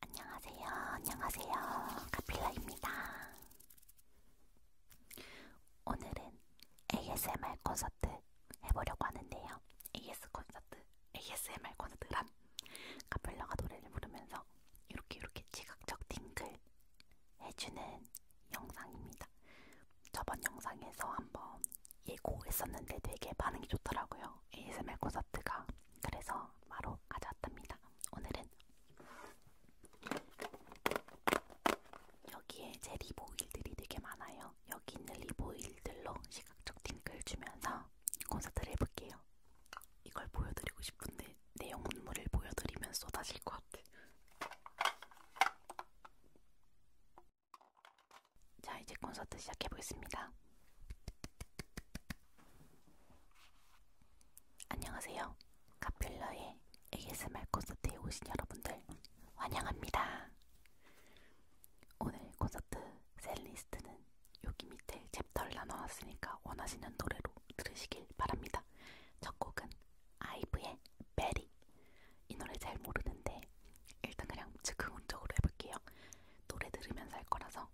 안녕하세요. 안녕하세요. 카필라입니다. 오늘은 ASMR 콘서트 해보려고 하는데요. AS 콘서트, ASMR 콘서트란 카필라가 노래를 부르면서 이렇게 이렇게 지각적 팅글 해주는 영상입니다. 저번 영상에서 한번 예고했었는데 되게 반응이 좋더라고요. ASMR 콘서트가 그래서 마로 가져왔답니다. 오늘은 여기에 제 리보일들이 되게 많아요. 여기 있는 리보일들로 시각적 팅글 주면서 콘서트를 해볼게요. 이걸 보여드리고 싶은데 내용 문물을 보여드리면 쏟아질 것 같아. 자 이제 콘서트 시작해보겠습니다. 안녕하세요. 카필러의 ASMR 콘서트에 오신 여러분들 환영합니다. 오늘 콘서트 셀리스트는 여기 밑에 챕터를 나눠놨으니까 원하시는 노래로 들으시길 바랍니다. 첫 곡은 아이브의 베리 이 노래 잘 모르는데 일단 그냥 즉흥적으로 해볼게요. 노래 들으면서 할 거라서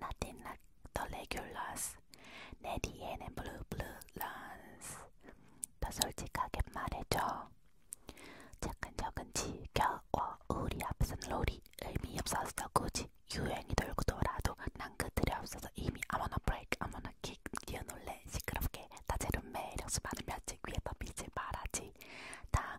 Nothing like the regulars. 내 뒤에는 blue blue runs. 더 솔직하게 말해줘. 차근차근 지겨워. 우리 앞선 롤이 의미 없어서 굳이 유행이 돌고 돌아도 난 그들이 없어서 이미 아무나 break 아무나 kick 뛰어놀래 시끄럽게 다채로운 매력 수많은 면책 위에 더 빛을 발하지. 다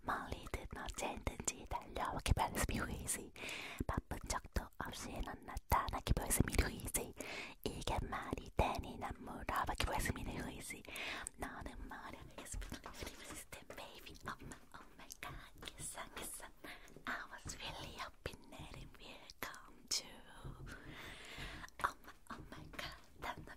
멀리 드너진 든지 달려오게 별숨이 후이지 바쁜 적도 없이 넌 나타나게 별숨이 후이지 이게 말이 되니 난 물어보게 별숨이 후이지 너는 뭐라 그랬습니까 System baby oh my oh my god 기상 기상 I was really hoping that it will come true Oh my oh my god 단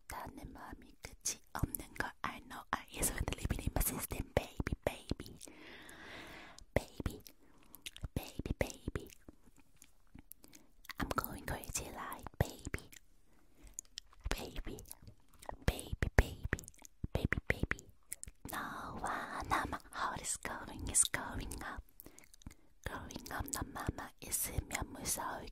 보다는 마음이 끝이 없는 걸 I know I is when living in my system baby baby baby baby baby I'm going crazy like baby baby baby baby baby baby no one my heart is going is going up Growing up 넌 맘아 있으면 무서울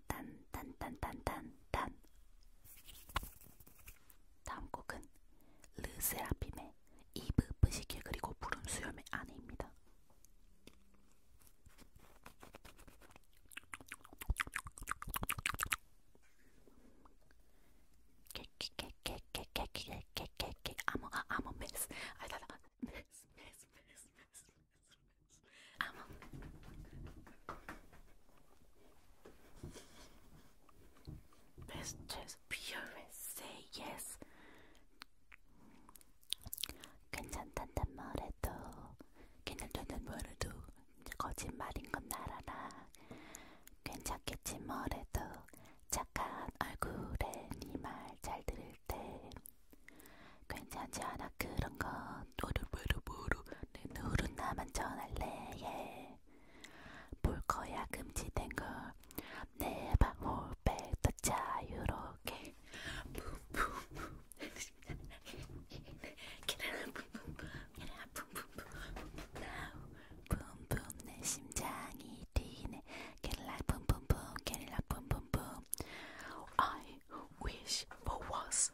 딴딴딴딴딴딴 다음 곡은 르세라핌의 이브 뿌시케 그리고 푸른 수염의 아내입니다. 깨깨깨깨깨깨깨깨깨깨 아무가 아무 메스 아다다 메스 메스 메스 메스 메스 아무. Best chest pure say yes. 괜찮단단 말해도 괜찮단단 말해도 거짓말인 건 알아라. 괜찮겠지 뭐래도 착한 얼굴에 네 말 잘 들을 때 괜찮지 않아 그런 건 너를 왜로 보러 룰루루루 내 노릇 나만 전할래 예. 볼 거야 금지된 걸 내방 홀백 더 자유롭게 붐붐붐 기다려 붐붐붐 기다려 붐붐붐 나우 붐붐 내 심장이 뛰네 기다려 붐붐붐 기다려 붐붐붐 I wish for was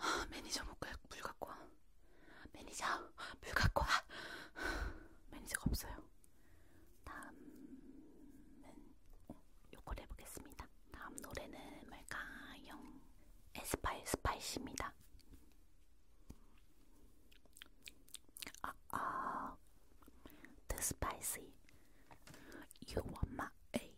아, 매니저 물 갖고 와. 매니저 물 갖고 와. 매니저가 없어요. 다음은 요걸 해보겠습니다. 다음 노래는 뭘까요? 에스파의 스파이시입니다. 아, 아, The Spicy. You want my A.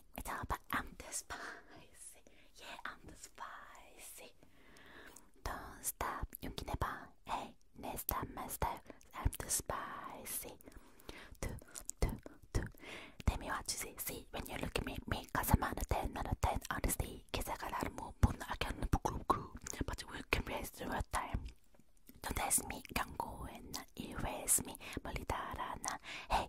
I but I'm the spicy. Yeah, I'm the spicy. Don't stop, you can never. Hey, next time, next time, I'm the spicy. Do, do, do. Tell me what you see. See, when you look at me, me, cause I'm on a 10, not a 10, honestly. Cause I got a lot of more, but I can't book, but we can raise through a time. Don't ask me, can't go and erase me, but it's Hey,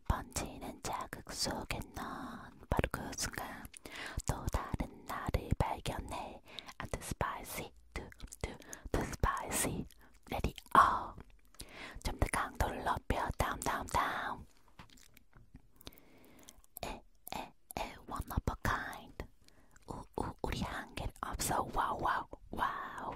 번지는 자극 속에 넌 바로 그 순간 또 다른 나를 발견해 I'm too spicy, too, too, too spicy Let it all 좀더 강도를 높여 다음 다음 다음 에에에 one of a kind 우우 우리 한결 없어 와우 와우 와우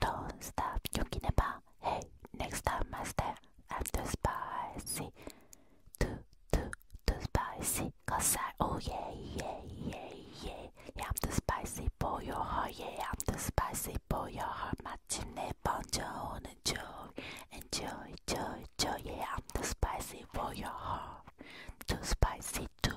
Don't stop thinking about. Hey, next time I step, I'm too spicy. Too, too, too spicy. Cause I, oh yeah, yeah, yeah, yeah. Yeah, I'm too spicy for your heart. Yeah, I'm too spicy for your heart. 마침내 번져오는 줄. Enjoy, joy, joy. Yeah, I'm too spicy for your heart. Too spicy, too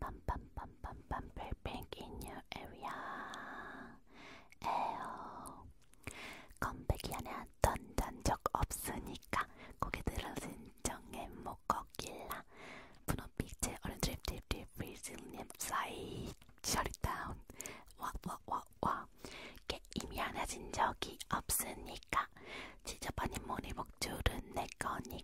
빰빰빰빰빰 불핑 in your area 에어 컴백이 안에 던전 적 없으니까 고개 들어진 정의 목거길라 분홍빛의 어른 드립 드립 드립 브리즐님 사이 셔리다운 와와와와 게임이 하나 진 적이 없으니까 지저분한 모니 목줄은 내 거니까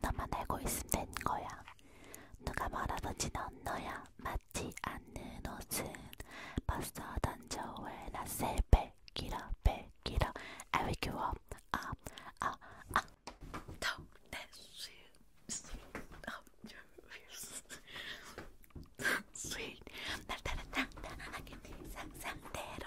너만 알고 있으면 된 거야. 누가 말하든지 넌 너야. 맞지 않는 옷은 벗어 던져 왜나 셀백 길어 백 길어 I wake you up up up up Don't let shit up your ears Sweet 날 따라 당당하게 네 상상대로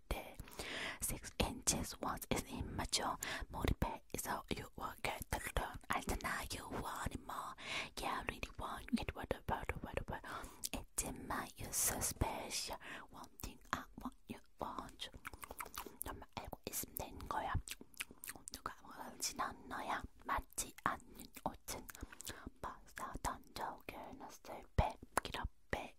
birthday. Six inches once is immature. Motivate is how you will get the return. I deny you want it more. Yeah, I really want it. What about what about? It's in my you so special. One thing I want you want. 너만 알고 있으면 된 거야. 누가 먹을진 않 너야. 맞지 않는 옷은 벗어 던져. girl, not so bad. Get up, bed.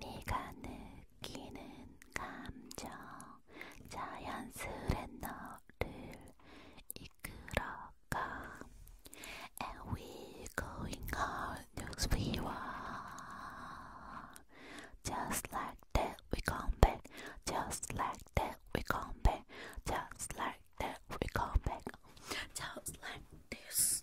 네가 느끼는 감정 자연스레 너를 이끌어가 And we're going on we are Just like that we come back Just like that we come back Just like that we come back Just like this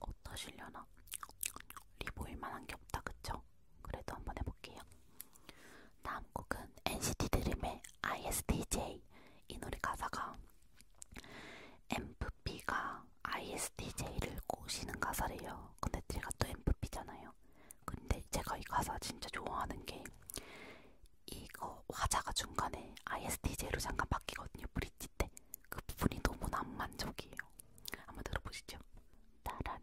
어떠시려나? 리보일만한 게 없다 그쵸? 그래도 한번 해볼게요. 다음 곡은 NCT 드림의 ISTJ 이 노래 가사가 MVP가 ISTJ를 꼬시는 가사래요. 근데 제가 또 MVP잖아요. 근데 제가 이 가사 진짜 좋아하는 게 이거 화자가 중간에 ISTJ로 잠깐 바뀌거든요. 브릿지 때. 그 부분이 너무 난만족이에요. 한번 들어보시죠. 따란.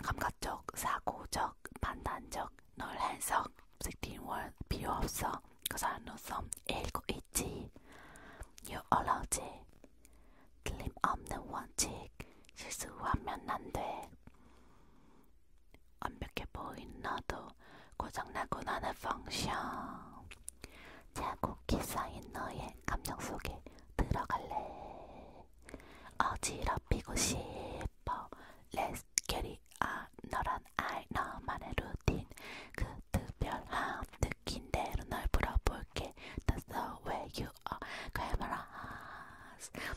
감각적, 사고적, 판단적, 널한석, 색팅월 필요 없어. 그 사람으로서 읽고 있지. You allow지. 틀림없는 원칙. 실수하면 안 돼. 완벽해 보인 너도 고장나곤 하는 펑션 자국기 쌓인 너의 감정 속에 들어갈래 어지럽히고 싶어 Let's get it on 너란 알 너만의 루틴 그 특별함 느낀 대로 널 불어볼게 That's the way you are Glamorous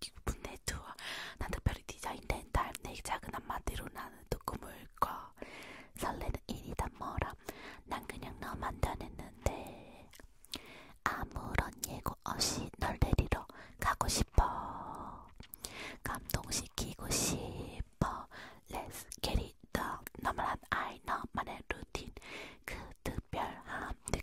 기분 내주어 난 특별히 디자인된 달내 작은 한마디로 나는 또 꿈을 꿔 설레는 일이다 뭐라 난 그냥 너만 다녔는데 아무런 예고 없이 널 데리러 가고 싶어 감동시키고 싶어 Let's get it done 너만한 아이 너만의 루틴 그 특별함 내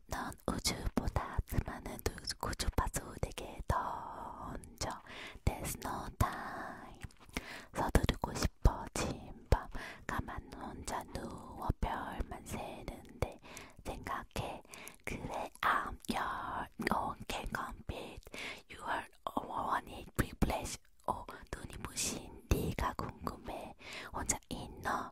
넌 우주보다 수많은 구주파수에게 던져 There's no time 서두르고 싶어 진밤 가만 혼자 누워 별만 새는데 생각해 그래 I'm your own can compete You are one in privilege 어 눈이 부신 네가 궁금해 혼자 있너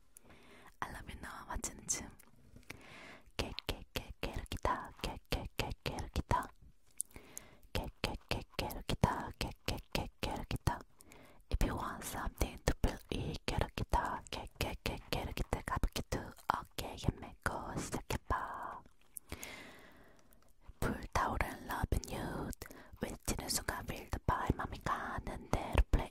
I love you 너와 맞추는 춤 깨깨깨깨르기다 깨깨깨깨르기다 깨깨깨깨르기다 깨깨깨깨르기다 If you want something to feel 이 깨르기다 깨깨깨깨르기다 가볍게도 어깨에 메고 시작해봐 불타오른 love and you 외치는 순간 feel the vibe 맘이 가는 대로 play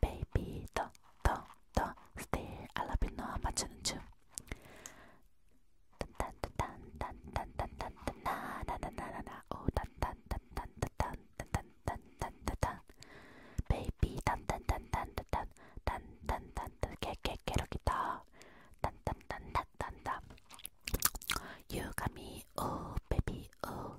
baby 더더더 still I love you 너와 맞추는 춤 단단단단단단단단단나나나나나 오 단단단단단단단단단단단 baby 단단단단단단 단단단단 개개개로기다 단단단단단단 you got me oh baby oh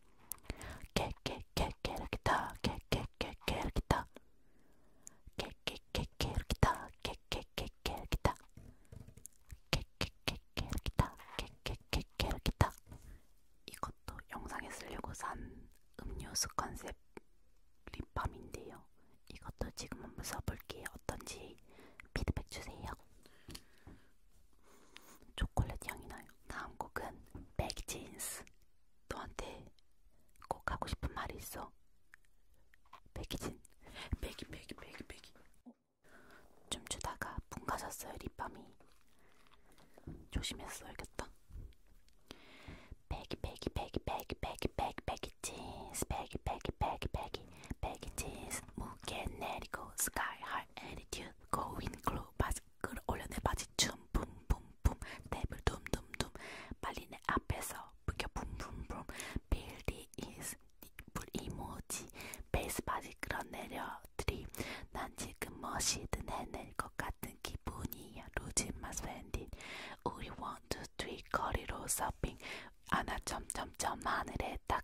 깨깨깨깨 이렇게 타 깨깨깨깨 이렇게 타 깨깨깨깨 이렇게 타 깨깨깨깨 이렇게 타 깨깨깨깨 이렇게 타 깨깨깨깨 이렇게 타 이것도 영상에 쓰려고 산 음료수 컨셉 립밤인데요. 이것도 지금 한번 써볼게요. 어떤지 피드백 주세요. 초콜릿 향이 나요. 다음 곡은 백진스. 너한테 꼭 하고 싶은 말이 있어. 백이진. 백이 백이 백이 백이. 춤추다가 붕 가셨어요 립밤이. 조심해서 써야겠다. 백이 백이 백이 백이 백이 백이 백이진스 백이 백이 백이 백이 백이진스 무게 내리고 스카이 할 애티튜드 거윈 클로 바지 끌어올려내 바지 춤 붐붐붐 탭을 둠둠둠 빨리 내 앞에서 부겨 붐붐 붐 빌디 이스 니플 이모지 베이스 바지 끌어내려들이 난 지금 멋이든 해낼 것 같은 기분이야 루즈 마스웬디 우리 원투 트리 거리로 서핑 안아 점점점 하늘에 딱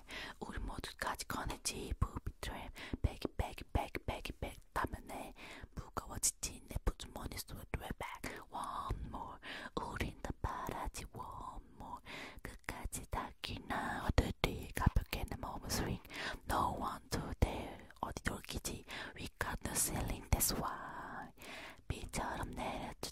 우리 모두까지 꺼내지 부비트랩 배기 배기 배기 배기 배기 다면에 무거워 지친 내 부주머니 속으로 back one more 우린 다 바라지 one more 끝까지 닿기 나 어디디 가볍게 내 몸을 swing no one to dare 어디 돌기지 we got the ceiling that's why 비처럼 내려줘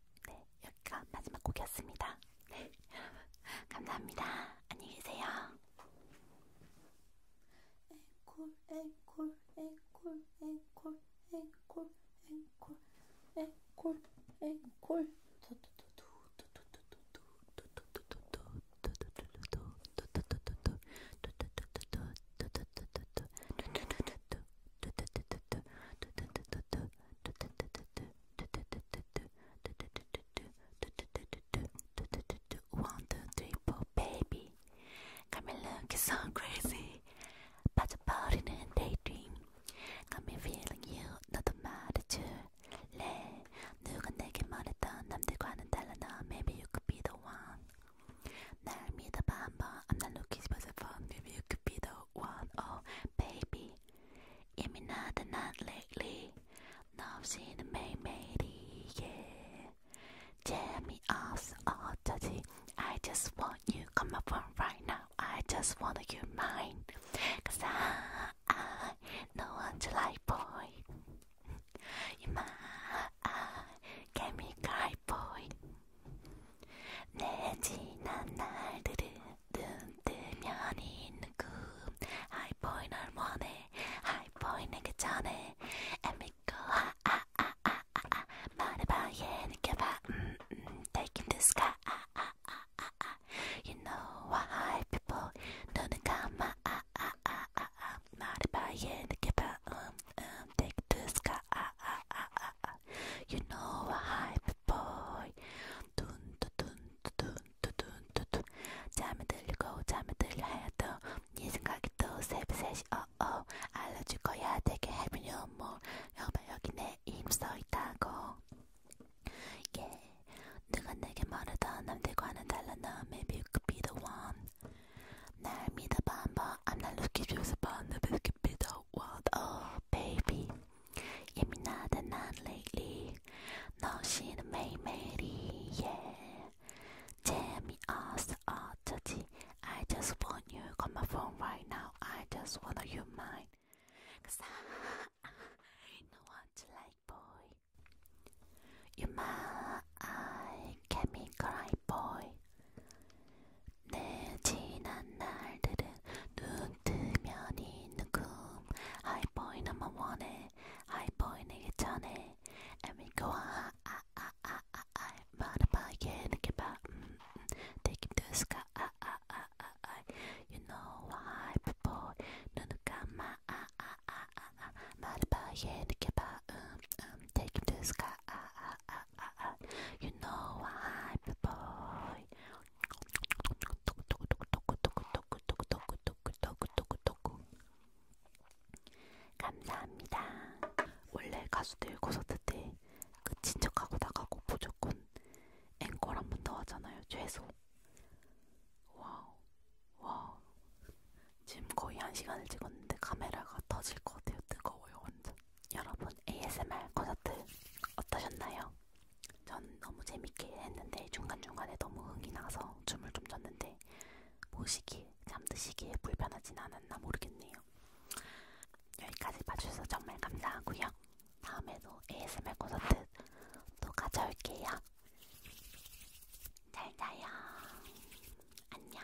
네, 여기가 마지막 곡이었습니다. 네, 여러분 감사합니다. 안녕히 계세요. 앵콜, 앵콜, 앵콜, 앵콜, 앵콜, 앵콜, 앵콜, 앵콜. One, two, three, four, baby. Got me looking so crazy, but about in a daydream. Got me feeling you, don't 너도 말해줄래? 누가 내게 말했던 남들과는 the 너 Maybe you could be the one. 날 믿어봐 한번. I'm not looking for the phone. Maybe you could be the Oh, baby, I'm not the naughty lately. Now see the May Matey, yeah. Tell me also, oh, daddy. I just want you come up from right now. I just want you mine. Cause I, I know I'm boy. you my, I, get me guy boy. 내 지난 날들은 눈뜨면 있는 꿈 하이포이 널 원해 하이포이 내게 전해 안 믿고 아아아아아 말해봐 예 yeah, 느껴봐 음, 음, taking the sky 아아아아아 You know why people 눈은 감아 아아아아아 말해봐 예 yeah, 느껴봐 음, 음, take the sky 아아아아아 You know why boy. 둔두둔두둔두둔두둔 잠이 들리고 잠이 들려 해도 네 생각이 또 새벽새시 어어 알려줄 거야 되게 해피 뉴뭐 여봐 여기 내 이름 써있다고 예 yeah. 누가 내게 말하던 남들과는 달라 너 maybe you could be the one 날 믿어봐 한번 I'm not looking views upon the biscuit bit of what? Oh, baby. Yummy not and not lately. No, she the May Mary, yeah. Tell me us all dirty. I just want you on my phone right now. I just want you mine. I, I no one to like boy. You my I can be cry boy. 내 지난 날들은 눈 뜨면 있는 꿈 하이포인 넘버 원에 하이포인에게 전해 에미코아 아아아아아 말아봐게 느껴봐 느낌 들수가 아아아아아 You know why before 눈 감아 아아아아 말아봐게 느껴봐 느낌 들수가 아아 ah, ah, ah. You know I'm the boy. 감사합니다. 원래 가수들 콘서트 때 끝인 그 척하고 나가고 무조건 앵콜 한 번 더 하잖아요. 최소. 와우. 와우. 지금 거의 한 시간을 찍었는데 카메라가 터질 것 같아요. 뜨거워요, 완전. 여러분 ASMR 콘서트 어떠셨나요? 전 너무 재밌게 했는데 중간중간에 너무 흥이 나서 춤을 좀 췄는데 보시기에 잠드시기에 불편하진 않았나 모르겠네요. 여기까지 봐주셔서 정말 감사하고요. 다음에도 ASMR 콘서트 또 가져올게요. 잘 자요. 안녕.